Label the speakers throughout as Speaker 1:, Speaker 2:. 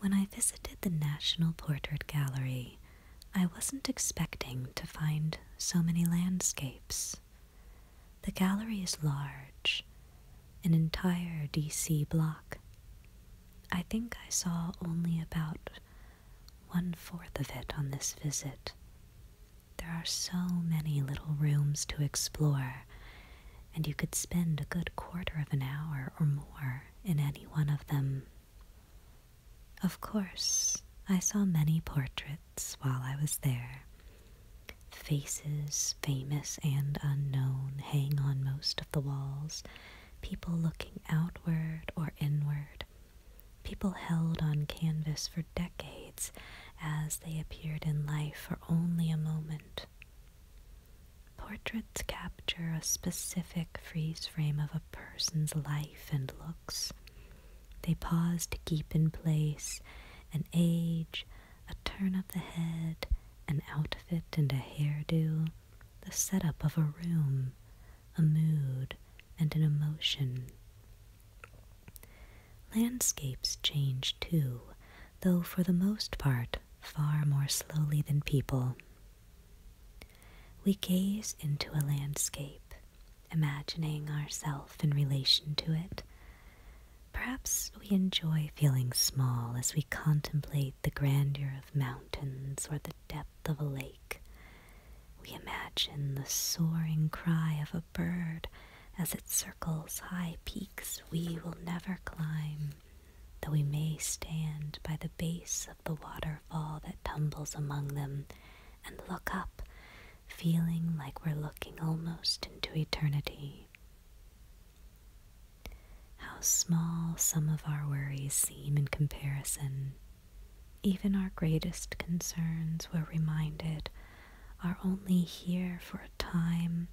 Speaker 1: When I visited the National Portrait Gallery, I wasn't expecting to find so many landscapes. The gallery is large, an entire DC block. I think I saw only about one fourth of it on this visit. There are so many little rooms to explore and you could spend a good quarter of an hour or more in any one of them. Of course, I saw many portraits while I was there. Faces, famous and unknown, hang on most of the walls, people looking outward or inward people held on canvas for decades as they appeared in life for only a moment. Portraits capture a specific freeze frame of a person's life and looks. They pause to keep in place an age, a turn of the head, an outfit and a hairdo, the setup of a room, a mood, and an emotion. Landscapes change too, though for the most part far more slowly than people. We gaze into a landscape, imagining ourselves in relation to it. Perhaps we enjoy feeling small as we contemplate the grandeur of mountains or the depth of a lake. We imagine the soaring cry of a bird as it circles high peaks we will never climb, though we may stand by the base of the waterfall that tumbles among them and look up, feeling like we're looking almost into eternity. How small some of our worries seem in comparison. Even our greatest concerns, we're reminded, are only here for a time,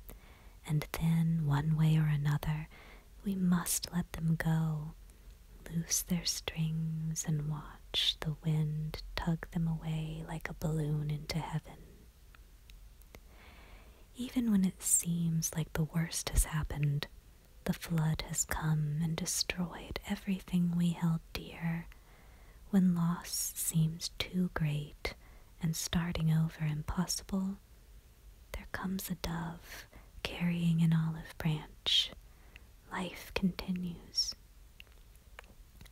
Speaker 1: and then, one way or another, we must let them go, loose their strings, and watch the wind tug them away like a balloon into heaven. Even when it seems like the worst has happened, the flood has come and destroyed everything we held dear. When loss seems too great and starting over impossible, there comes a dove carrying an olive branch. Life continues.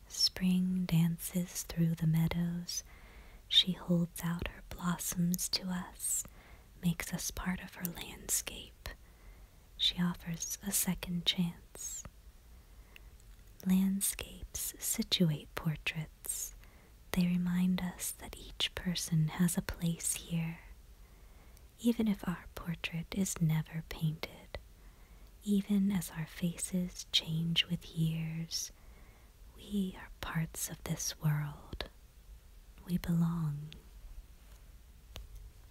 Speaker 1: Spring dances through the meadows. She holds out her blossoms to us, makes us part of her landscape. She offers a second chance. Landscapes situate portraits. They remind us that each person has a place here. Even if our portrait is never painted, even as our faces change with years, we are parts of this world. We belong.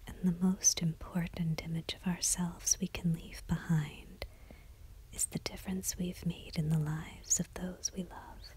Speaker 1: And the most important image of ourselves we can leave behind is the difference we've made in the lives of those we love.